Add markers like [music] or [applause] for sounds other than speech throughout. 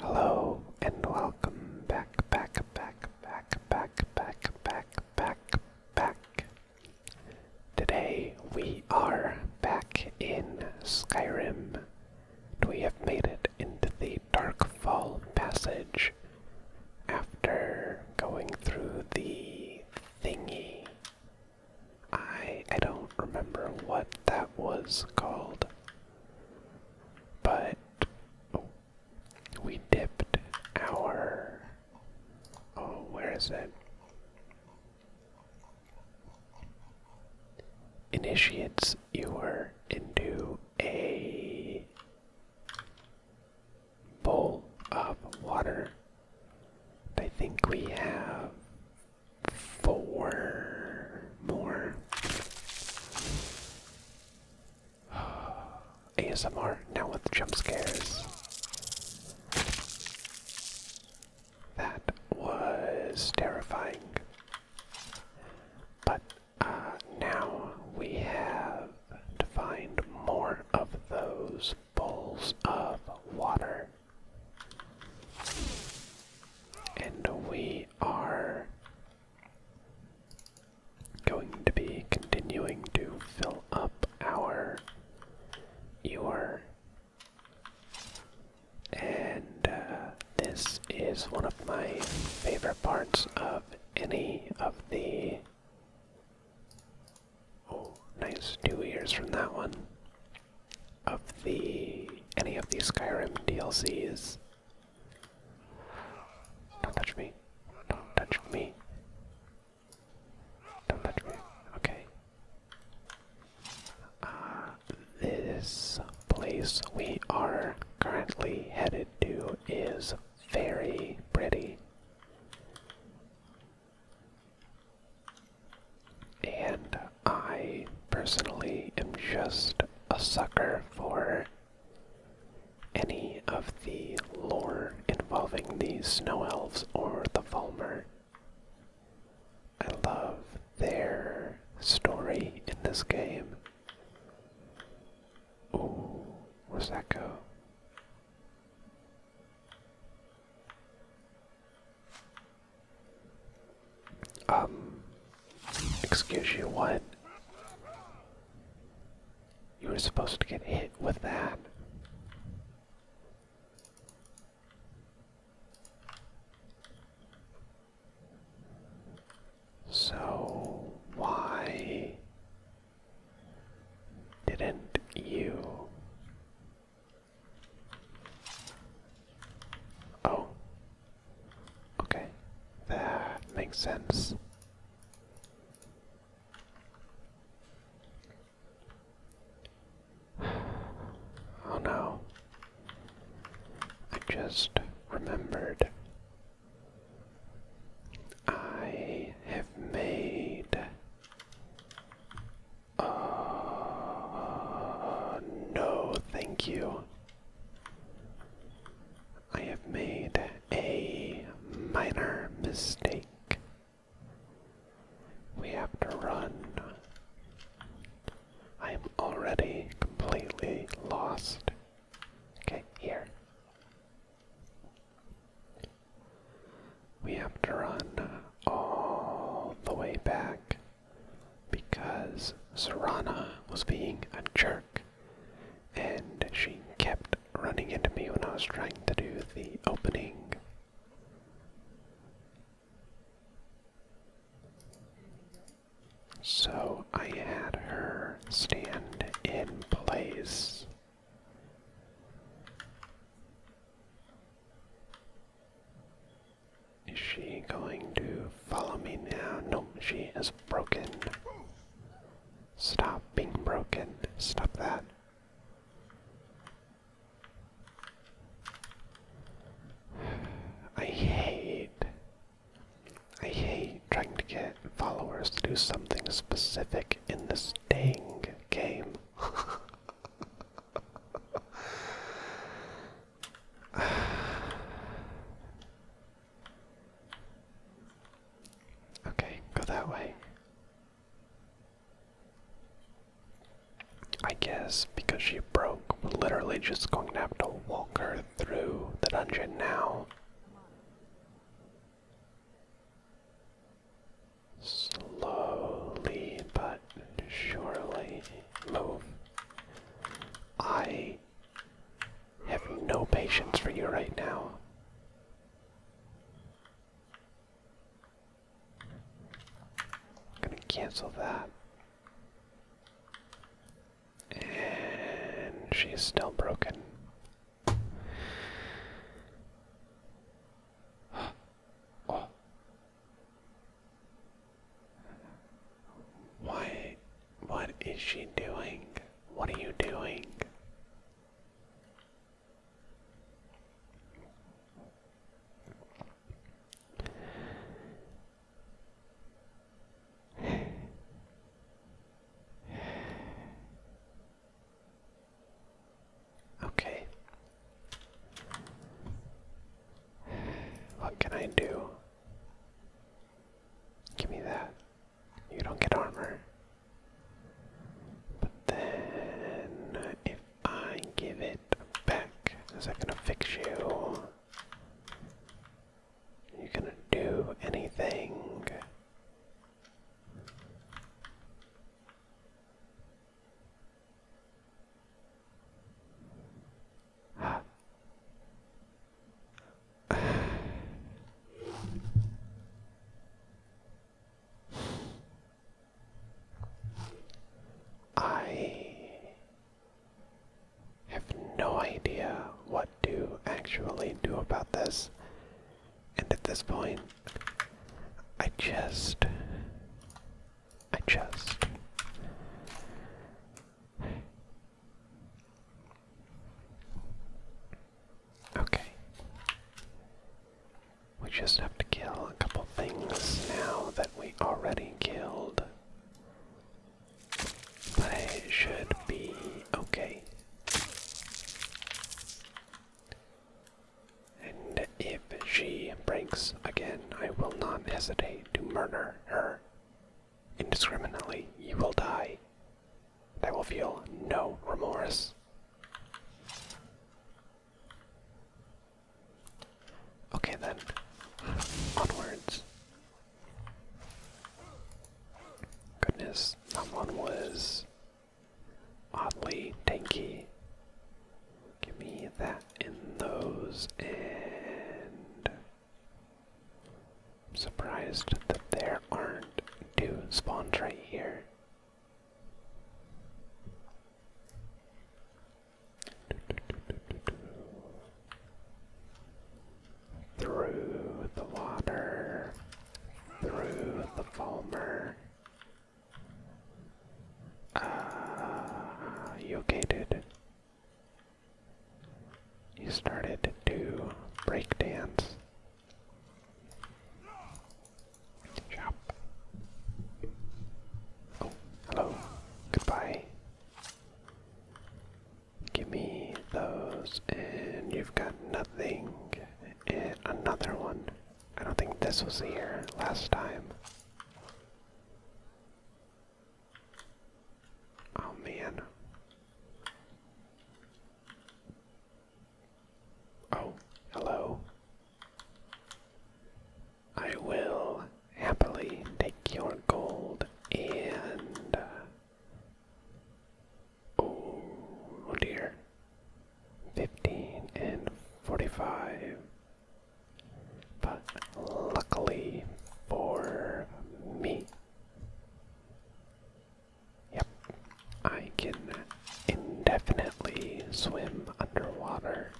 Hello and welcome back, back, back, back, back, back, back, back, back Today we are back in Skyrim. We have made it into the Darkfall Passage after going through the thingy. I I don't remember what that was called. But we dipped our Oh, where is it? initiates Ewer into a bowl of water. I think we have four more. [sighs] ASMR now with jump scares. That was terrifying. But uh, now we have to find more of those bowls of water. And we are going to be continuing to fill up our your and uh, this is one of my favorite parts of any of the. Oh, nice two ears from that one. Of the. any of the Skyrim DLCs. Don't touch me. Don't touch me. Don't let me. Okay. Uh, this place we are currently headed to is very pretty. And I personally am just a sucker for any of the lore involving the snow elves or the Volmer. I love their story in this game. Ooh, where's that go? Um, excuse you, what? You were supposed to get hit with that. So, why didn't you? Oh, okay, that makes sense. [sighs] Oh no. I just remembered. I have made. Uh, no, thank you. I have made a minor mistake. We have to run. I am already completely lost. Okay, here. We have to run all the way back because Serana was being a jerk and she kept running into me when I was trying to do the opening so I had her stand in place. Is she going to follow me now? No, she is broken. Stop being broken. Stop that. I hate I hate trying to get followers to do something specific in the sting game. [sighs] okay, go that way. I guess because she broke, we're literally just going to have to walk her through the dungeon now. Slowly but surely move. I have no patience for you right now. I'm gonna cancel that. And she's still broken. [gasps] oh. Why? What is she doing? What are you doing? Okay. What can I do? Give me that. You don't get armor. But then, if I give it back. Is that gonna fix you? you gonna do anything? I have no idea what to actually do about this, and at this point, I just. I just. Okay. We just have to kill a couple things now that we already killed. But it should be okay. And if she breaks again, I will not hesitate to murder her. Indiscriminately, you will die. And I will feel no remorse. Okay then, onwards. Goodness, that one was oddly tanky. Give me that in those, and I'm surprised that there aren't two spawns right here. Through the water, through the foamer. Ah, uh, you started to break dance. Shop. Oh, hello. Goodbye. Give me those, and you've got nothing. And another one. I don't think this was here last time. Oh man. Oh, hello. I will happily take your gold and. oh, oh dear. 15 and 45. But luckily for me, yep, I can indefinitely swim underwater.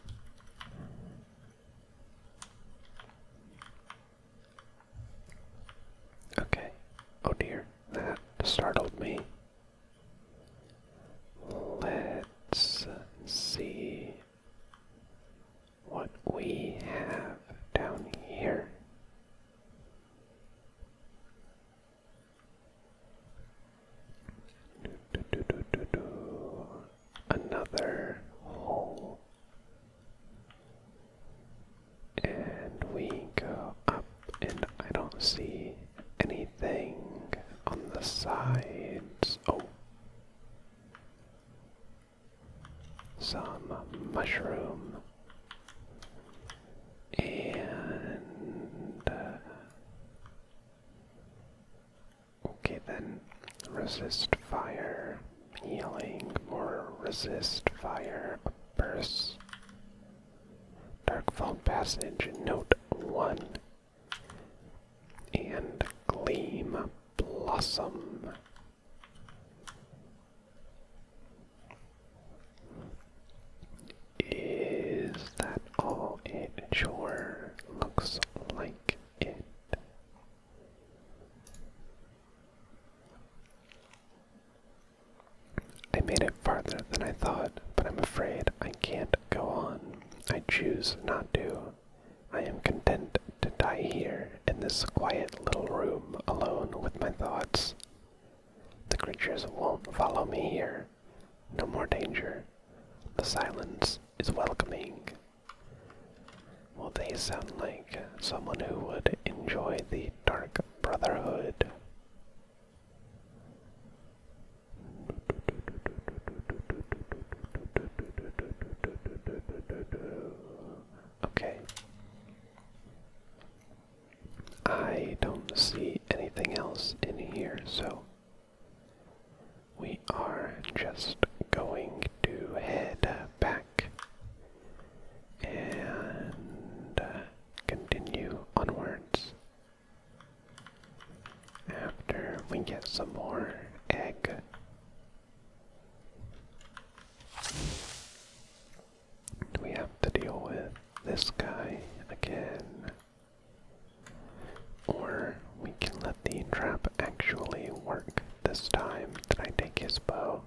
Okay. Oh dear, that startled me. Let's see what we have down here. Do, do, do, do, do. Another hole. And we go up, and I don't see anything on the sides. Oh. Some mushroom. And. Uh, Okay, then resist fire, healing, or resist fire, burst. Darkfall Passage, Note 1. And Gleam Blossom. Is that all it sure looks like it? I made it farther than I thought, but I'm afraid I can't go on. I choose not to. I am content to die here in this quiet little room alone with my thoughts. The creatures won't follow me here. No more danger. The silence is welcoming. Well, they sound like someone who would enjoy the Dark Brotherhood. Okay. I don't see anything else in here, so we are just going to head back and uh, continue onwards after we get some more egg. We have to deal with this guy again. Or we can let the trap actually work this time. Did I take his bow?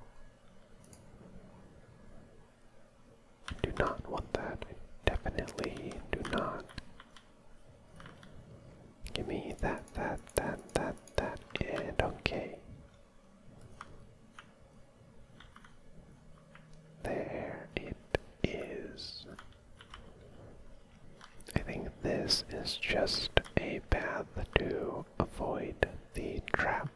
do not want that. definitely do not. Give me that, that, that, that, that, and okay. There it is. I think this is just a path to avoid the trap.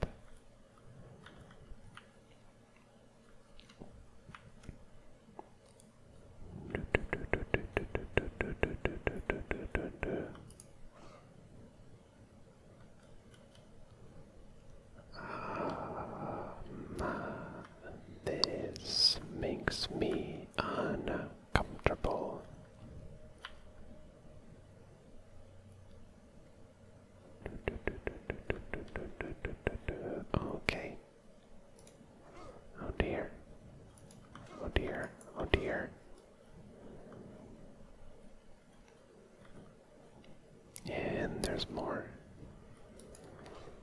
Ah, this makes me uncomfortable. Okay. Oh dear. Oh dear. Oh dear. And there's more.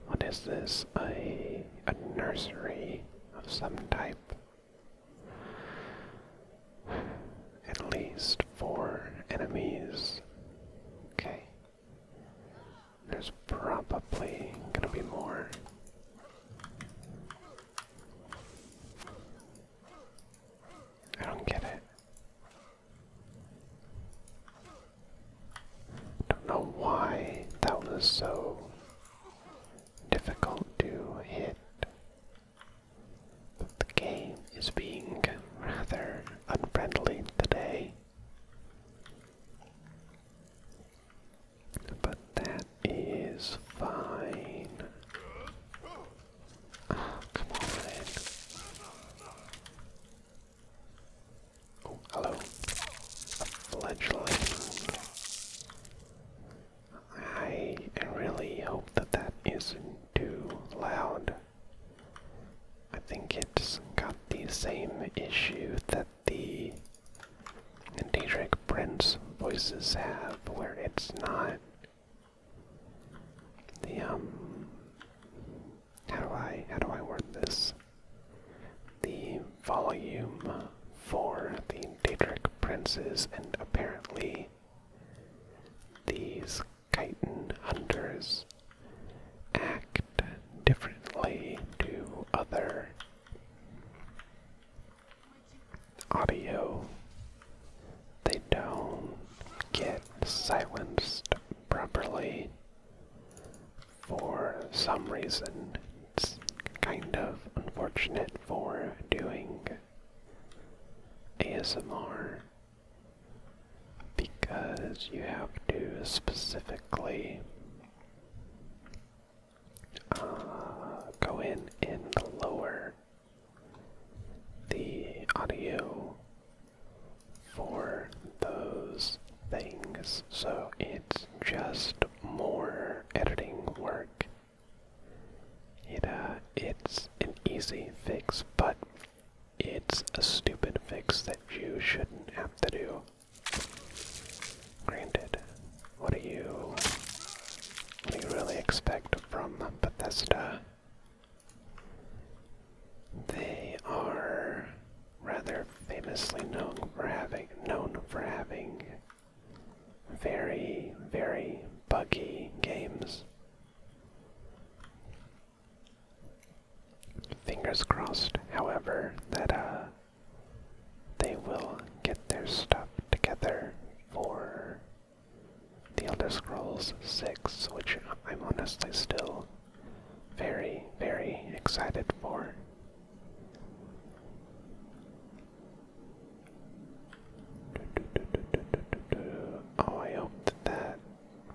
What is this? A, a nursery of some type. At least four enemies. Okay. There's probably gonna be more. I don't get it. Don't know why that was so difficult to hit. But the game is being rather unfriendly today. But that is fine. Ah, come on. Oh, hello. A fledgling. I really hope that that isn't too loud. I think it's got the same issue that the and Daedric Prince voices have, where it's not the um how do I how do I word this? The volume for the Daedric princes and apparently these chitin hunters act differently to other audio. They don't get silenced properly for some reason. It's kind of unfortunate for doing ASMR because you have to specifically uh, go in and lower the audio for those things. So it's just more editing work. It uh, it's an easy fix, but it's a stupid fix that you shouldn't have to do. Granted, what do you what do you really expect from Bethesda? They are rather famously known for having known for having very, very buggy games. Fingers crossed, however, that uh they will get their stuff together for The Elder Scrolls 6, which I'm honestly still very, very excited for. Oh, I hope that that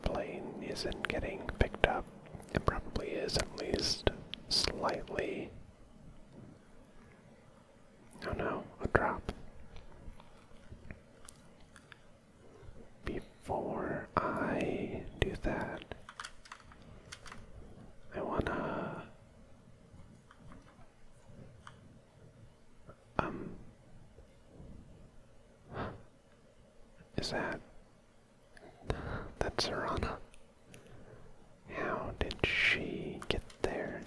plane isn't getting picked up. It probably is, at least slightly. Oh no, a drop. Before I do that, I wanna um is that that's Serana? How did she get there?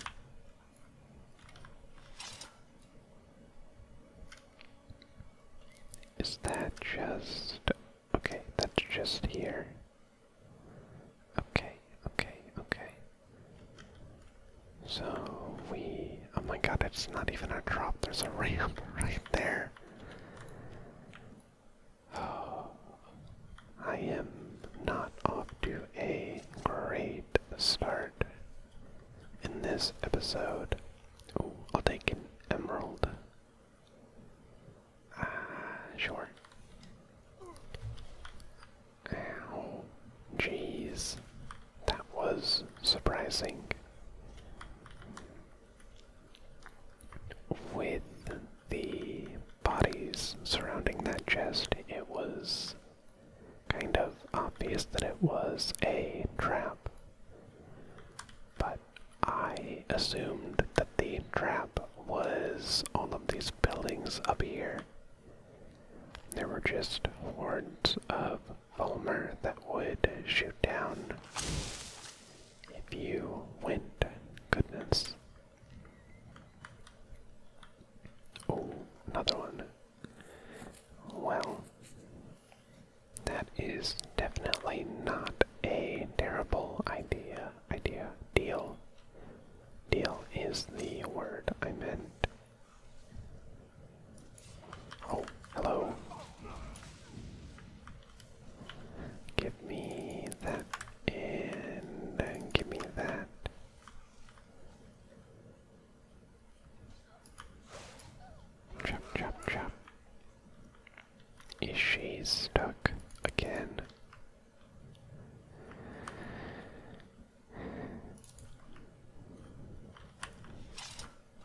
Is that just Okay, that's just here. Okay, okay, okay. So we. Oh my god, it's not even a drop, there's a [laughs] ramp right there. Oh. I am not off to a great start in this episode. Oh, I'll take an emerald. Uh, [sighs] sure. Ow. Jeez. That was surprising. With the bodies surrounding that chest, it was kind of obvious that it was a trap. But I assumed that the trap was all of these buildings up here. There were just hordes of Fulmer that would shoot down if you went. Goodness. Oh, another one. Well, that is definitely not a terrible idea. Idea. Deal. Deal is the word I meant. Oh, hello. Give me that and give me that. Chop, chop, chop. Is she stuck again?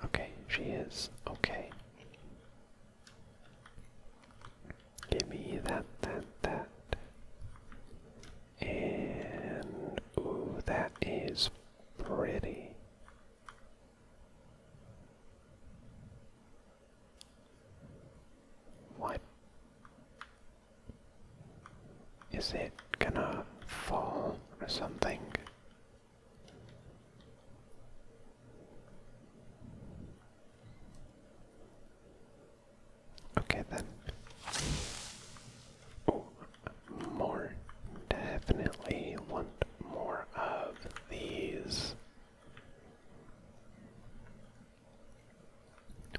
Okay, she is. Okay. Give me that, that, that. And. Ooh, that is pretty. Why is it gonna fall or something? Okay then. Oh, more. Definitely want more of these.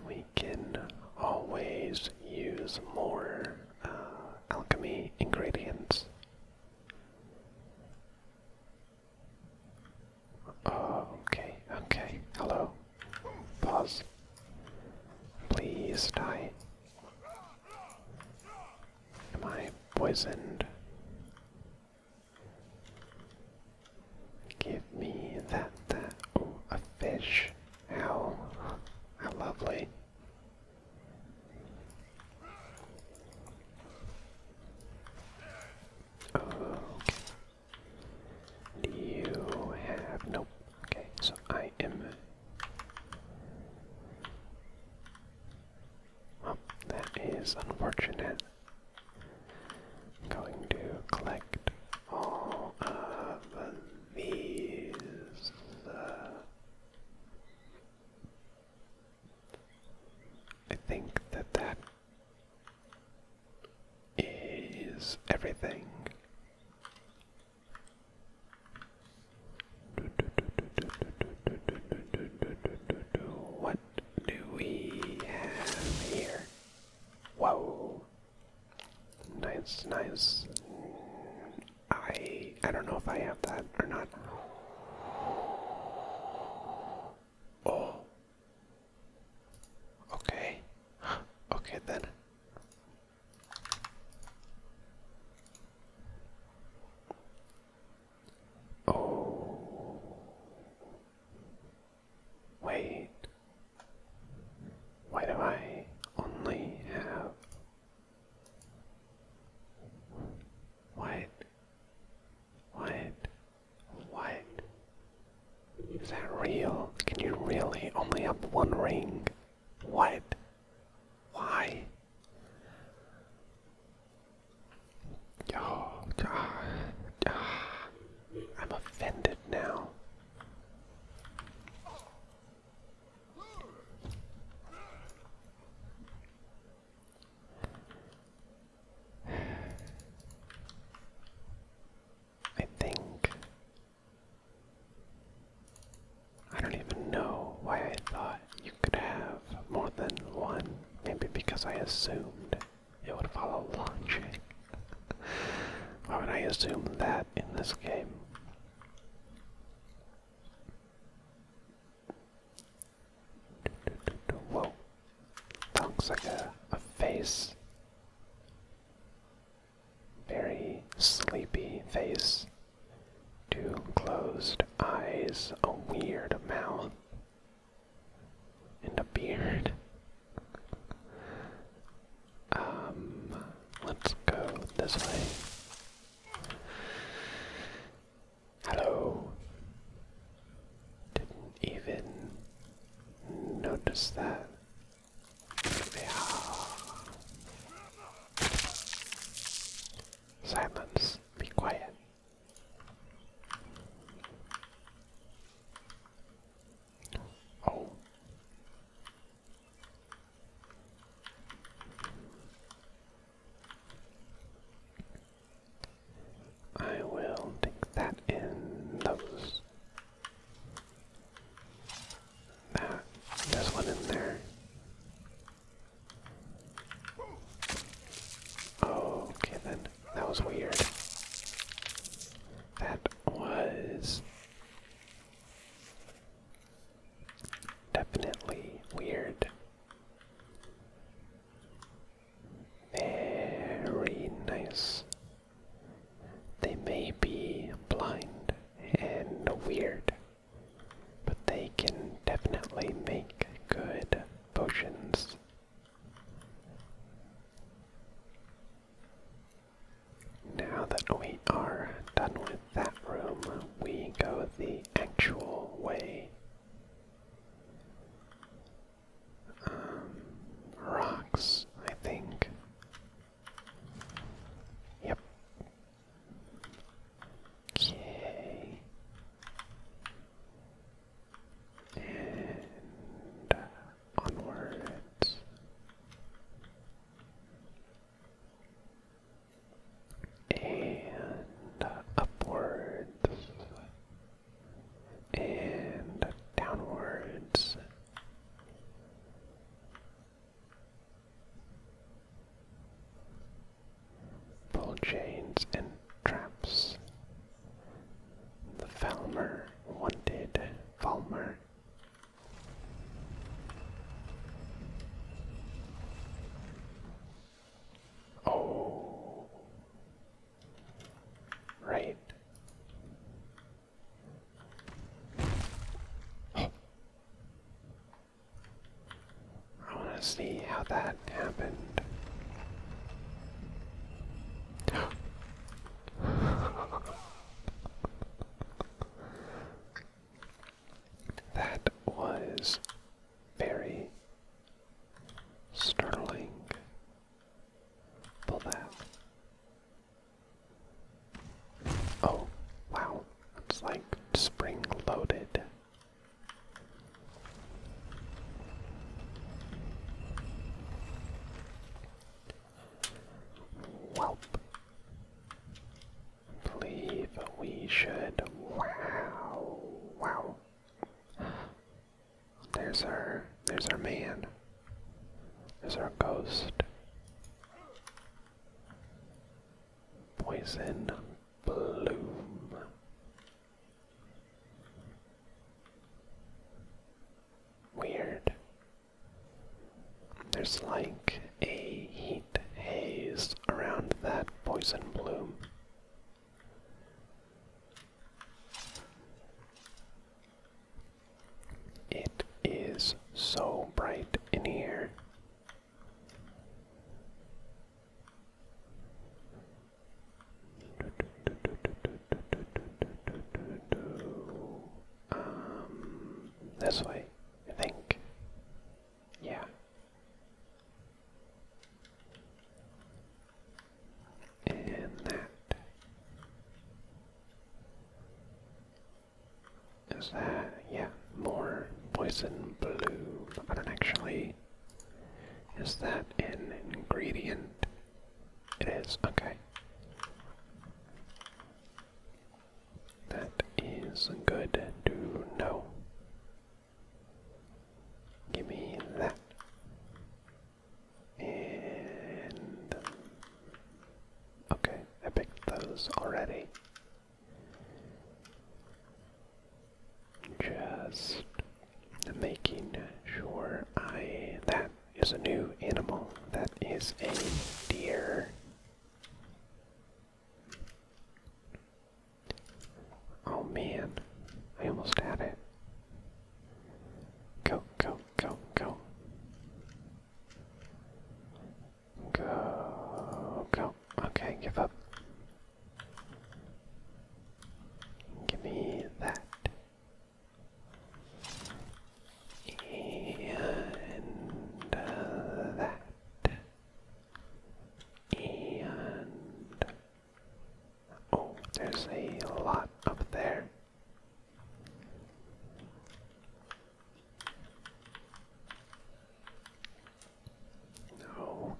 We can always use more uh, alchemy ingredients. okay, okay. Hello. Pause. Please die. Am I poisoned? Give me that, that. Oh, a fish. How, how lovely. you have, nope. Okay, so I am that is unfortunate. I'm going to collect all of these. Uh, I think that that is everything. What do we have here? Whoa. Nice, nice. I I don't know if I have that or not. Oh. Okay. Okay then. Oh. Wait. Why do I only have. What? What? What? Is that real? Can you really only have one ring? What? Why? I'm offended now. I think I don't even know why I thought you could have more than one, maybe because I assumed it would follow launching. Why would I assume that in this game? Whoa. That looks like a face. Very sleepy face. Two closed eyes, a weird mouth, and a beard. Um, let's go this way. Hello. Didn't even notice that. Silence. Be quiet. Oh. I will take that in those. That. There's one in there. Oh, okay then. That was weird. That was definitely weird. Very nice. They may be blind and weird, but they can definitely make good potions. Now that we are done with that room, we go the actual way. Um, rocks, I think. Yep. Okay and onwards. And upwards and downwards Pull chains and traps. The Falmer wanted Falmer. Oh, right. I want to see how that happened. [laughs] that was very startling. Pull that. Oh, wow. It's like spring loaded. Welp. Believe we should. Wow. Wow. There's our there's our man. There's our ghost. Poison bloom. Weird. There's like a heat haze around that poison bloom. It is so bright in here. Um, this way, I think. Yeah. And that. Is that, yeah, more poison blue, but I don't actually is that an ingredient? It is, okay. That is good to know. Give me that. And. Okay, I picked those already. Just making sure I. That is a new animal. That is a deer. Oh man, I almost had it. Go, go, go, go. Go, go. Okay, give up. Give me that. And uh, that. And. Oh, there's a lot up there.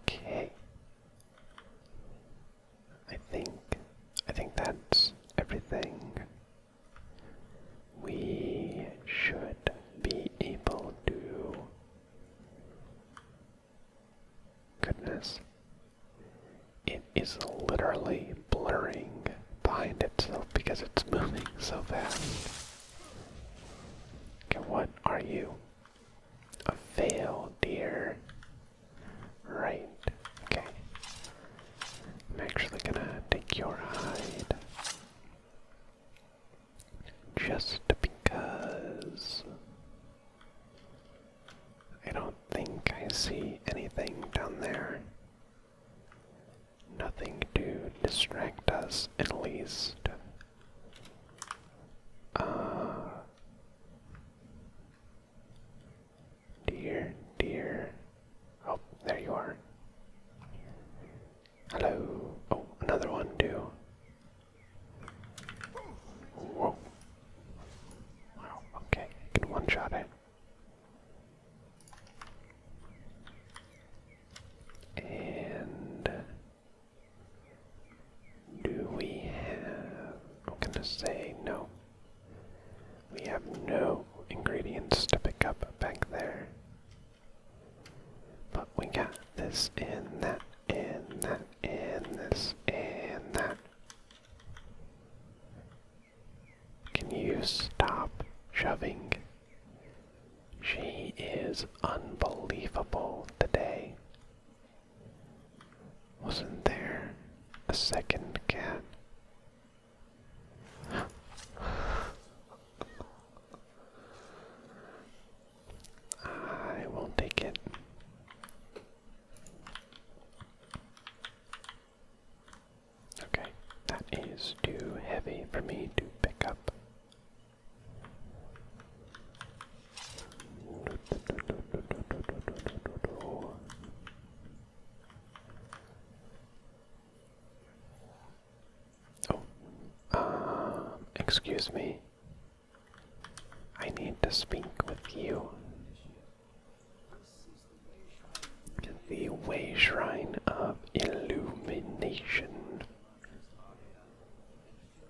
Okay. I think I think that's everything. We should be able to goodness. It is literally blurring behind itself because it's [laughs] moving so fast. what are you? A fail, dear. Right. Okay. I'm actually gonna take your hide. Just because. I don't think I see anything down there. Nothing to distract us, at least. Uh, dear, dear. Oh, there you are. Hello. Oh, another one Do. Whoa. Wow, okay. one shot it. And do we have. I'm gonna say no. We have no ingredients to pick up back there. But we got this and that and that and this and that. Can you stop shoving? She is unbelievable today. Wasn't there a second cat? I won't take it. Okay, that is too heavy for me to pick up. Oh, uh, excuse me. I need to speak with you. The Way Shrine of Illumination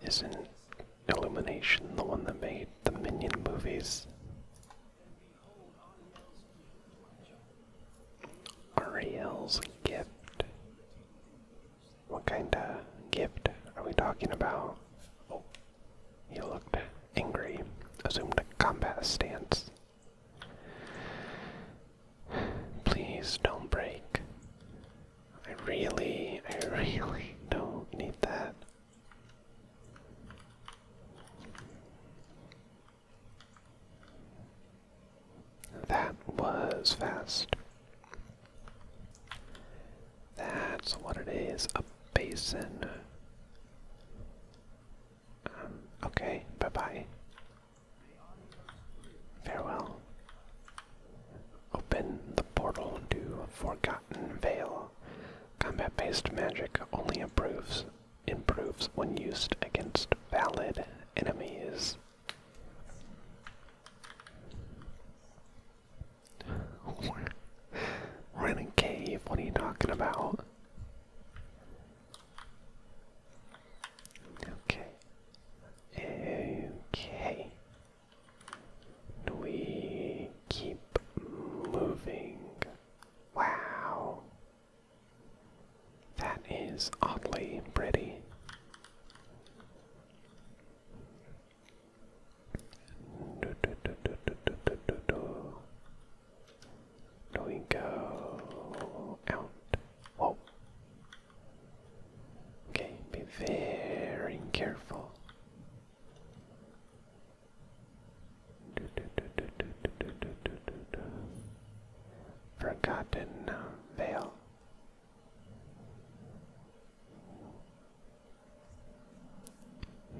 is not Illumination, the one that made the Minion movies. Ariel's gift. What kind of gift are we talking about? Oh, he looked angry. Assumed a combat stance. Please don't break. I really, I really don't need that. That was fast. That's what it is, a basin. Um, okay, bye-bye. Farewell. Open the portal to Forgotten. Forgotten Veil. Combat-based magic only improves improves when used against valid enemies. [laughs] we cave, what are you talking about? Okay. Okay. We keep moving. Wow. That is oddly pretty. Do, do, do, do, do, do, do, do, do. we go out? Whoa. Okay, be very careful. Forgotten uh, Veil.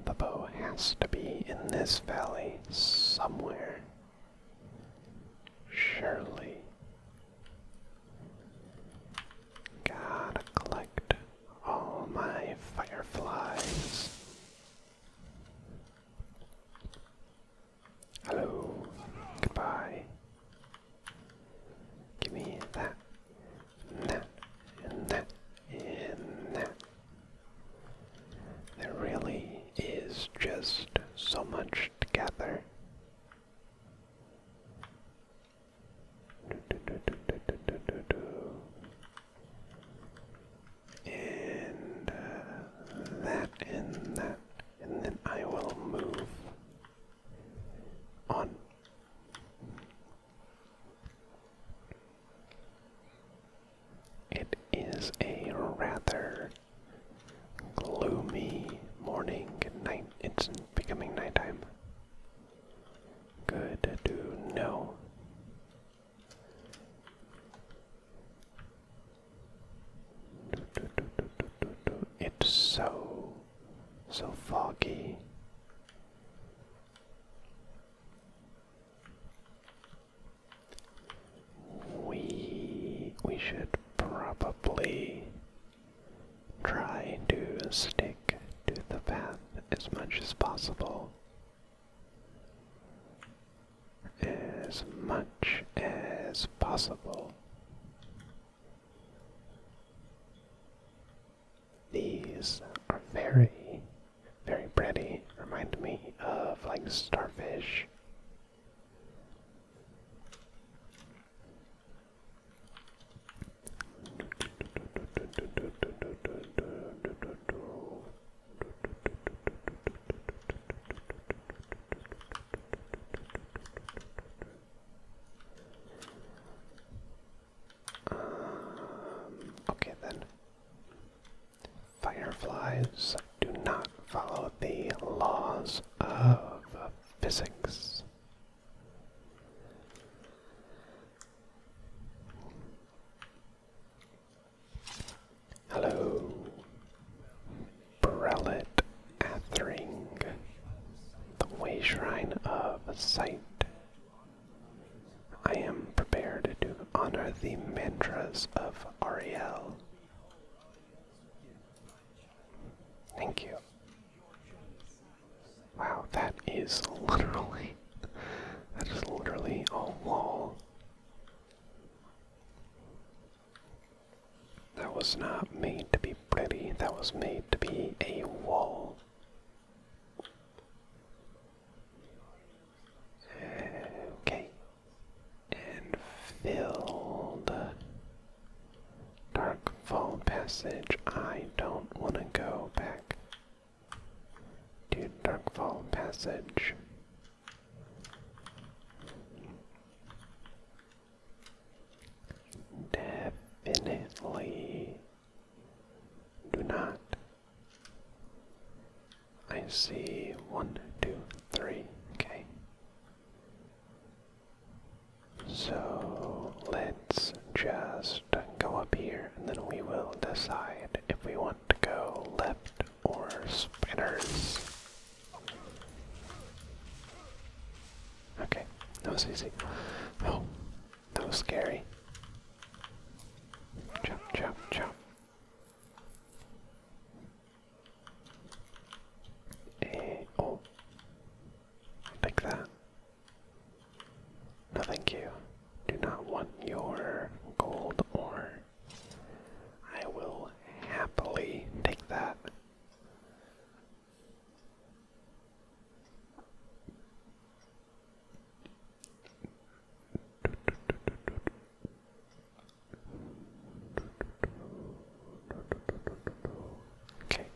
The bow has to be in this valley somewhere. Surely. Gotta collect all my fireflies. Hello. Goodbye. Give me that, that, and that, and that. There really is just so much to gather. And uh, that and that. And then I will move on. It is a rather gloomy morning and night. It's becoming nighttime. Good to know. It's so, so foggy. We we should probably Try to stick to the path as much as possible. As much as possible. These are very, very pretty. Remind me of like starfish. Um, okay then. Fireflies do not follow the laws of physics. Hello, Brelet Athring. the Way Shrine of Sight. I am prepared to honor the mantras of Ariel. Thank you. Wow, that is literally that is literally a wall. That was not made to be pretty, that was made to be a wall. Okay. And filled. Dark Fall Passage. I don't want to go back to Dark Fall Passage. Definitely do not. I see one, two, three. Okay. So let's just go up here and then we will decide if we want to go left or spinners. Okay, that was easy. Oh, that was scary. Chop, chop, chop. Eh, oh. that. No, thank you. Do not want your gold or I will happily take that. Okay. [laughs]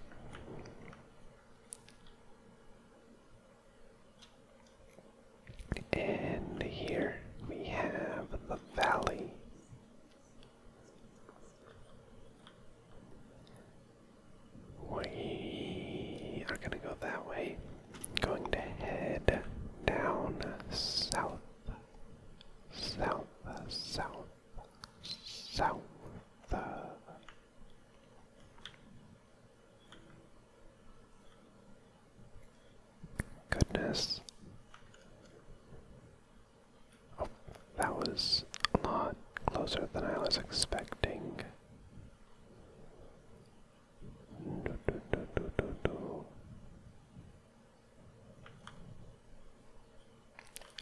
And here we have the valley. We are going to go that way. Going to head down south, south, south, south, Goodness. Oh, that was a lot closer than I was expecting.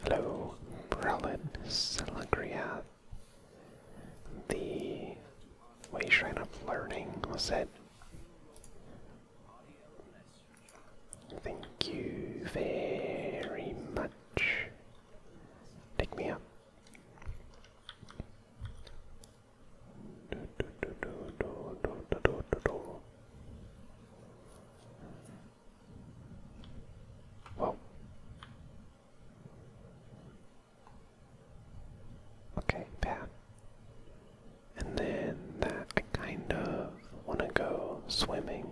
Hello, Brelin Siligriath the way you shrine of learning was it? Thank you very much. Pick me up. Whoa. Okay, bad. And then that I kind of want to go swimming.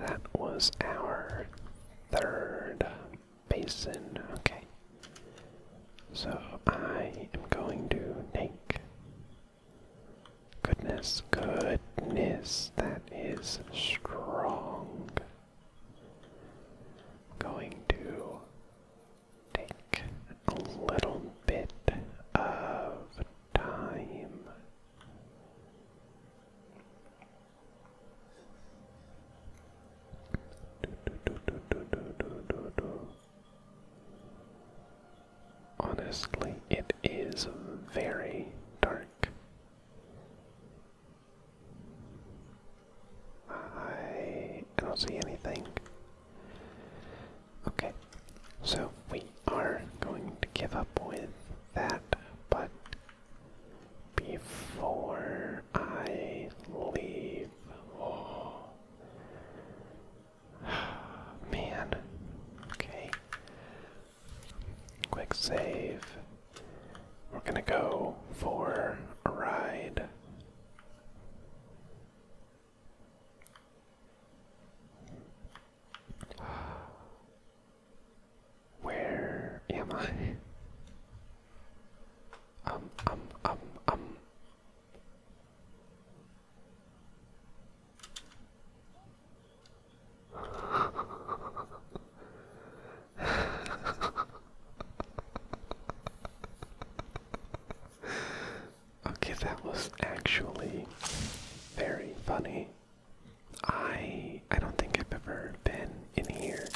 That was our third basin. Okay. So I am going to take Goodness, goodness, that is strong. Going to take a little bit of time. Honestly, it is very dark. I don't see anything. Okay, so we are going to give up with that, but before I leave, oh, [sighs] Man. Okay. Quick save. We're gonna go for a ride. [gasps] Where am I? Um, um, um, um okay, that was actually very funny. I I don't think I've ever been in here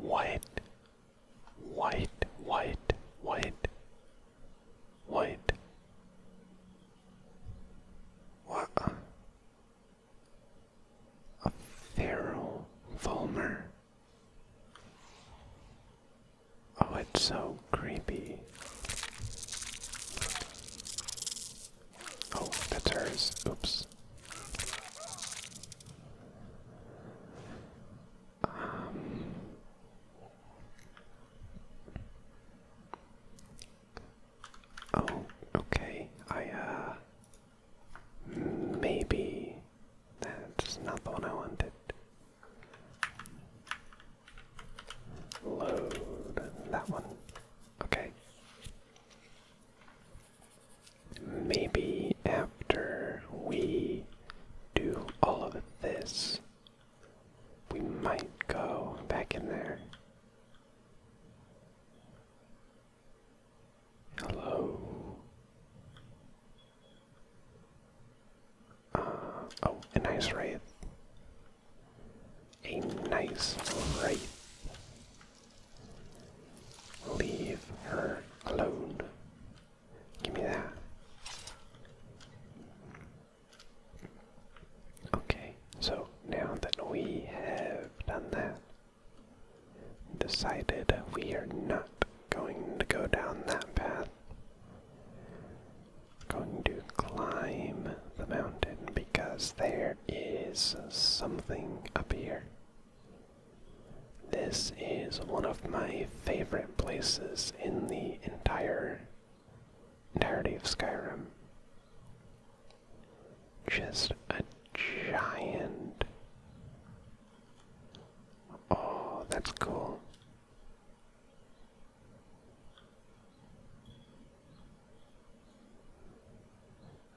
white, white, white, white, white. What a, a feral Fulmer. Oh, it's so creepy. Oh, that's hers. Oops. Um, oh, okay. I, uh. Maybe that's not the one I wanted. Load that one. Okay. Maybe after we do all of this, we might go back in there. Hello. Uh, oh, a nice wraith. A nice wraith. Leave her alone. Give me that. Okay, so now that we have done that, decided we are not going to go down that path. going to climb the mountain because there is something up here. This is one of my favorite places in the entire entirety of Skyrim. Just a giant. Oh, that's cool.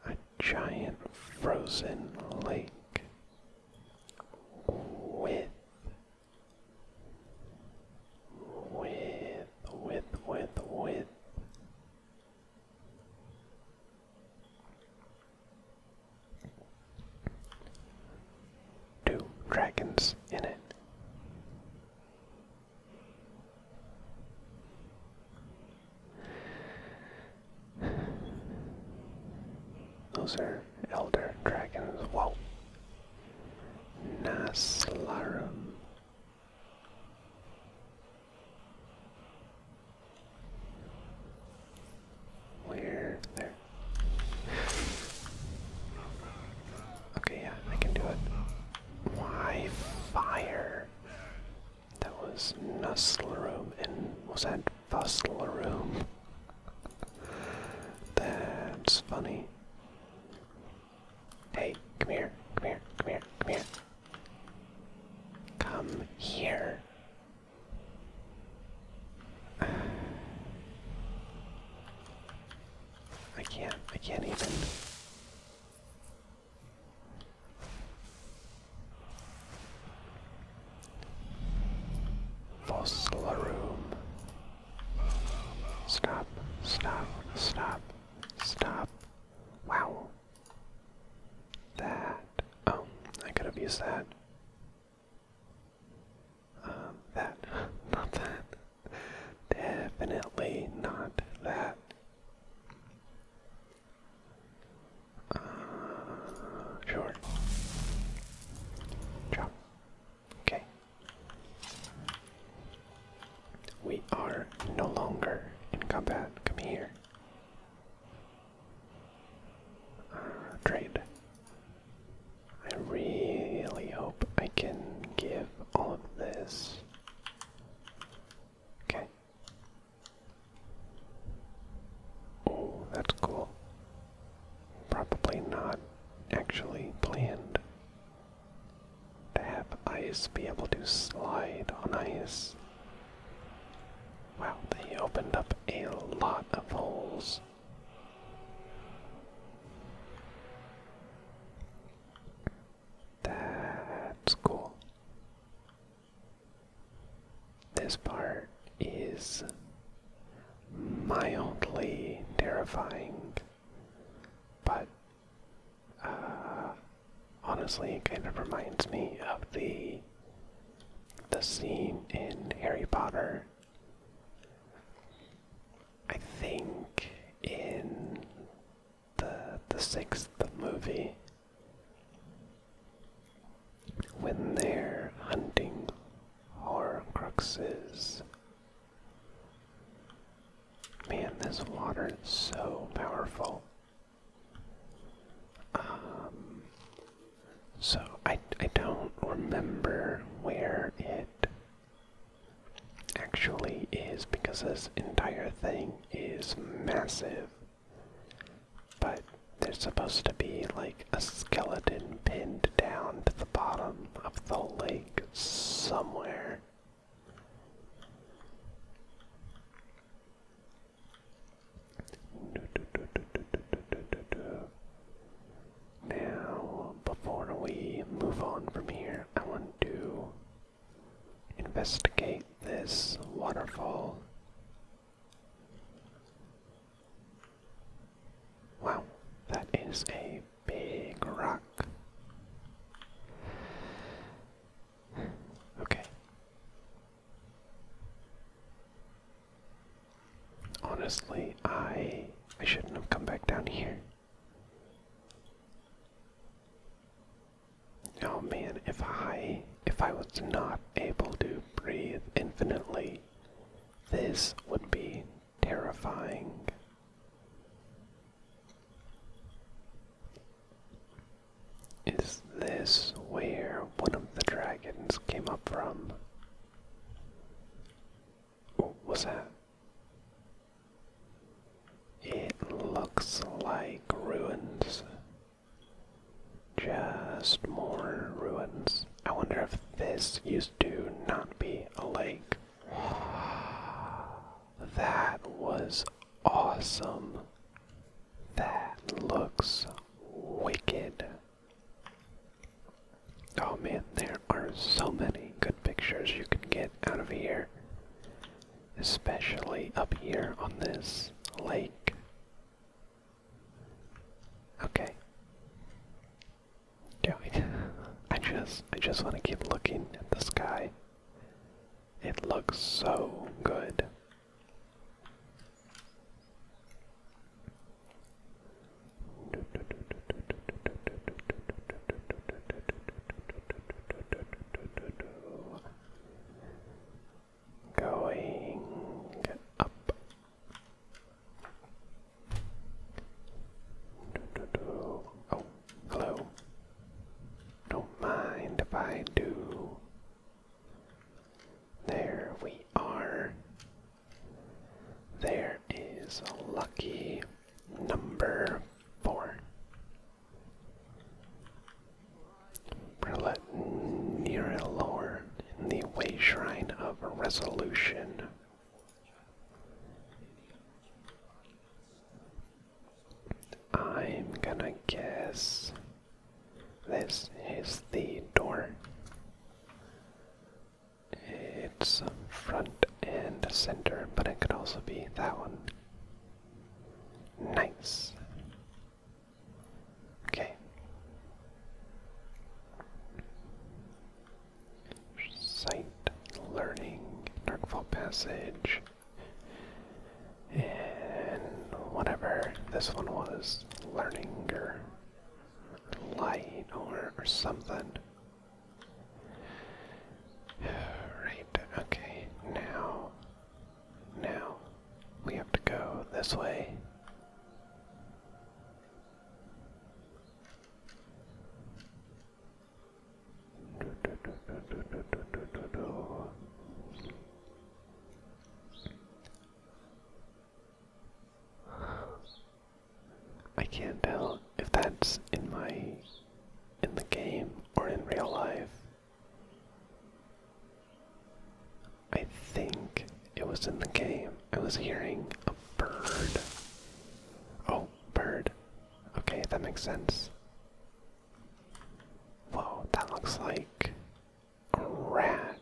A giant frozen lake with with with with with two dragons in it. Those are elder dragons. Whoa. Naslarum. Where? There. Okay, yeah, I can do it. Why fire? That was Room, and was that Room? That's funny. Hey, come here, come here, come here, come here. Come here. [sighs] I can't, I can't even. Fossil room. Stop, stop, stop, stop. Wow. That. Oh, I could have used that. Um, that. [laughs] not that. Definitely not that. Uh, sure. Drop. Okay. We are no longer in combat. Come here. Uh, trade. I really hope I can give all of this. Okay. Oh, that's cool. Probably not actually planned to have ice be able to slide on ice. Wow, they opened up a lot of holes. That's cool. This part is mildly terrifying, but uh, honestly, it kind of reminds me of the the scene in Harry Potter. I think in the the sixth movie when they're hunting horcruxes. Man, this water is so powerful. Um, so I I don't remember where it actually is because this entire thing is massive. But there's supposed to be like a skeleton pinned down to the bottom of the lake somewhere. Now, before we move on from here, I want to investigate this waterfall. Wow, that is a big rock. Okay. Honestly, I I shouldn't have come back down here. Oh man, if I if I was not able to breathe infinitely, this would be terrifying. Is this where one of the dragons came up from? What was that? It looks like ruins. Just more ruins. I wonder if this used to not be a lake. [sighs] That was awesome. That looks wicked. Oh man, there are so many good pictures you can get out of here especially up here on this lake. Okay. Going. [laughs] I just I just want to keep looking at the sky. It looks so good. Going up. Oh, hello. Don't mind if I do. There we are. There is a lucky number four. We're gonna let Nira lower in the way shrine of resolution. I'm gonna guess this is the door. It's front and center, but it could also be that one. Nice. Okay. Sight learning, Darkfall Passage, and whatever this one was, learning or light or, or something. [sighs] Right, okay, now now we have to go this way. I can't tell if that's in my in the game or in real life. I think it was in the game. I was hearing a bird. Oh, bird. Okay, that makes sense. Whoa, that looks like a rat.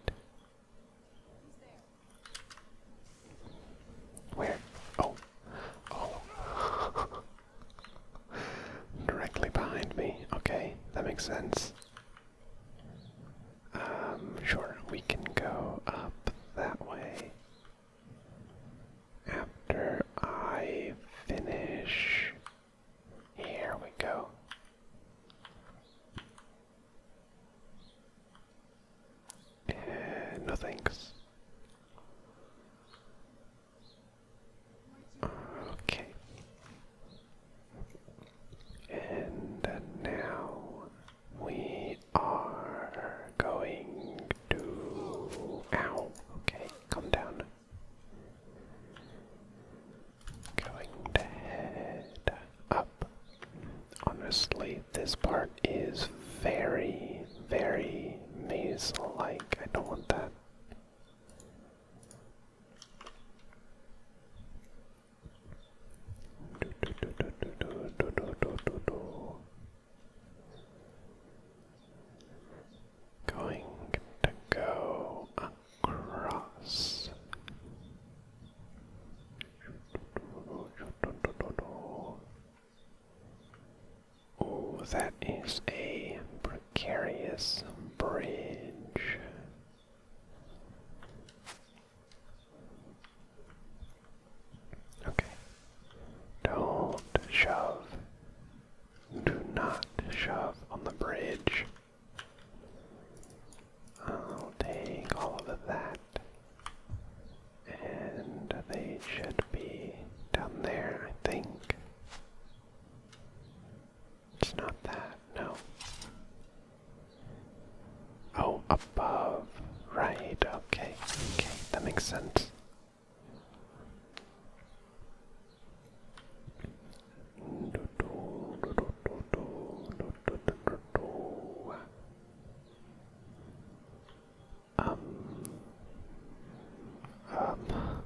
Where? Oh. Oh. [laughs] Directly behind me. Okay, that makes sense. Um, sure, we can go up that way. After I finish. Here we go. Eh, no thanks. Okay. And now we are going to. Ow! Okay, come down. Going to head up. Honestly, this part is very, very maze like. I don't want that. Going to go across. Oh, that is a precarious bridge. Okay. Don't shove. Do not shove on the bridge. I'll take all of that. And they should be down there, I think. It's not that, no. Oh, above. Right, okay, okay, that makes sense. Um, um,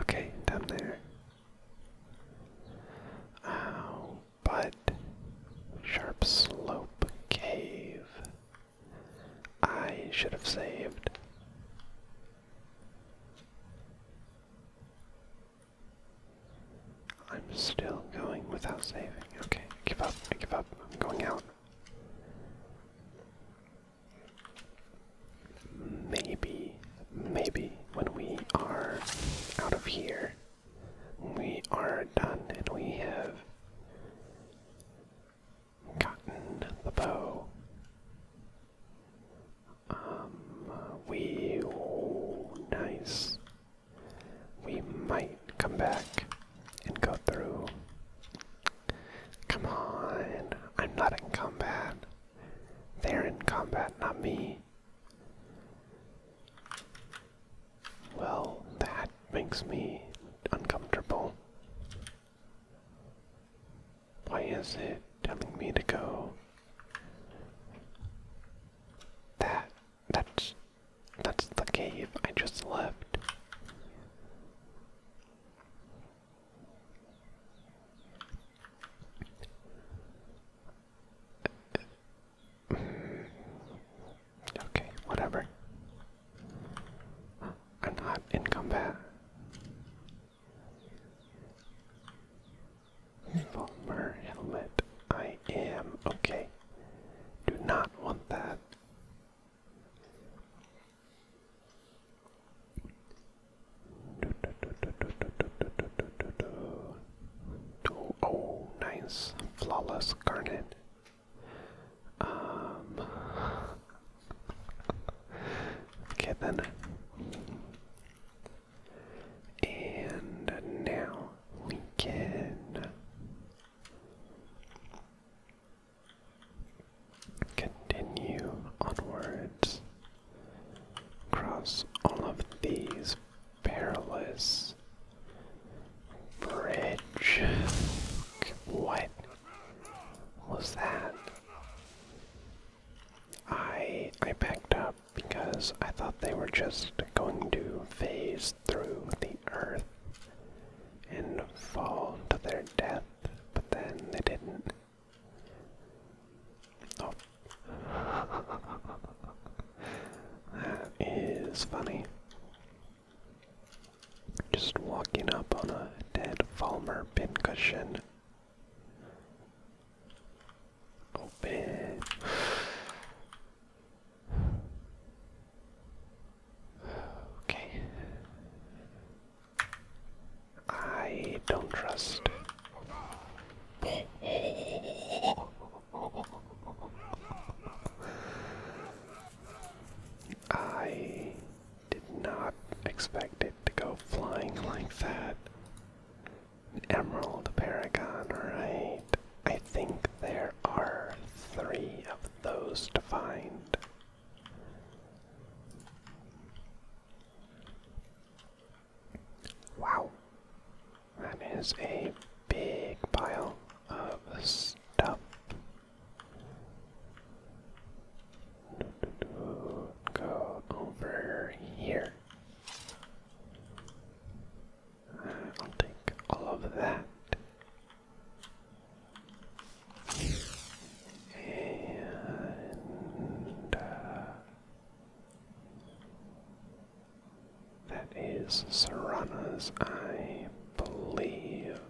Okay, down there. Ow, but sharp slope cave. I should have saved. I'm still going without saving. Okay, give up, I give up, I'm going out. Maybe, maybe when we are out of here, we are done and we have gotten the bow. Um, we. nice. We might come back and go through. Come on, I'm not in combat. They're in combat, not me. Well, that makes me uncomfortable. Why is it telling me to go? That that's that's the cave I just left. Okay, whatever. I'm not in combat. Fulmer I am. Okay. Do not want that. Oh, oh nice. Flawless garnet. Um Okay then. And now we can continue onwards across all of these perilous bridge. What was that? I I backed up because I thought they were just going to phase through the earth and fall to their death, but then they didn't. Oh. that is funny. Just walking up on a dead Falmer pincushion. Open. Oh, [sighs] okay. I don't trust. I did not expect it to go flying like that. emerald paragon, right? I think there are three of those to find. Wow. That is a big pile of stuff. Go over here. Uh, I'll take all of that. And uh, that is Serana's, I believe.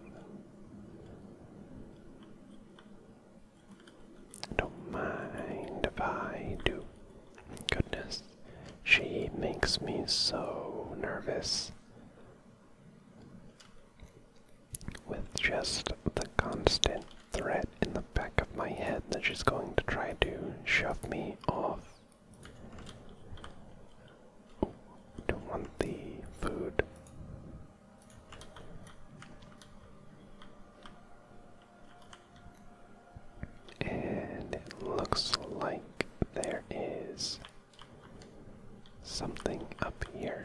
Don't mind if I do. Goodness, she makes me so nervous with just the constant threat in the back of my head that she's going to try to shove me off. Ooh, don't want the food. And it looks like there is something up here.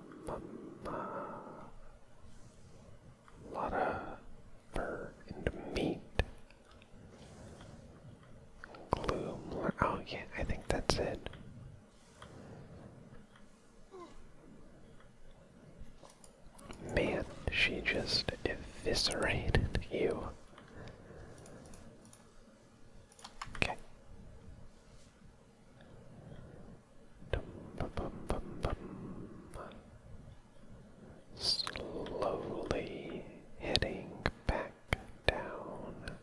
mama. lot of fur and meat. Gloom. Oh, yeah, I think that's it. Man, she just eviscerated you. Slowly heading back down,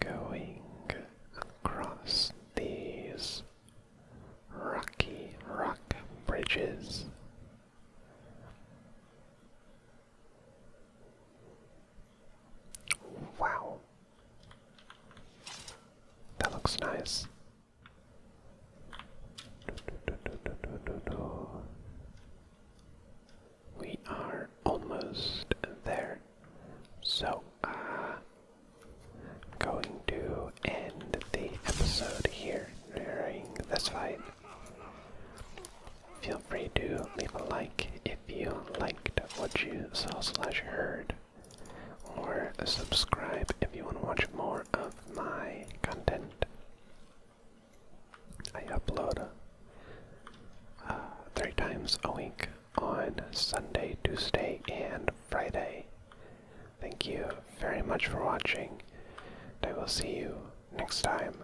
going across these rocky rock bridges. Wow. That looks nice. We are almost there. So, I'm uh, going to end the episode here during this fight. Feel free to leave a like if you liked what you saw slash heard, or subscribe if you want to watch more of my content. I upload uh, three times a week on Sunday, Tuesday, and Friday. Thank you very much for watching, and I will see you next time.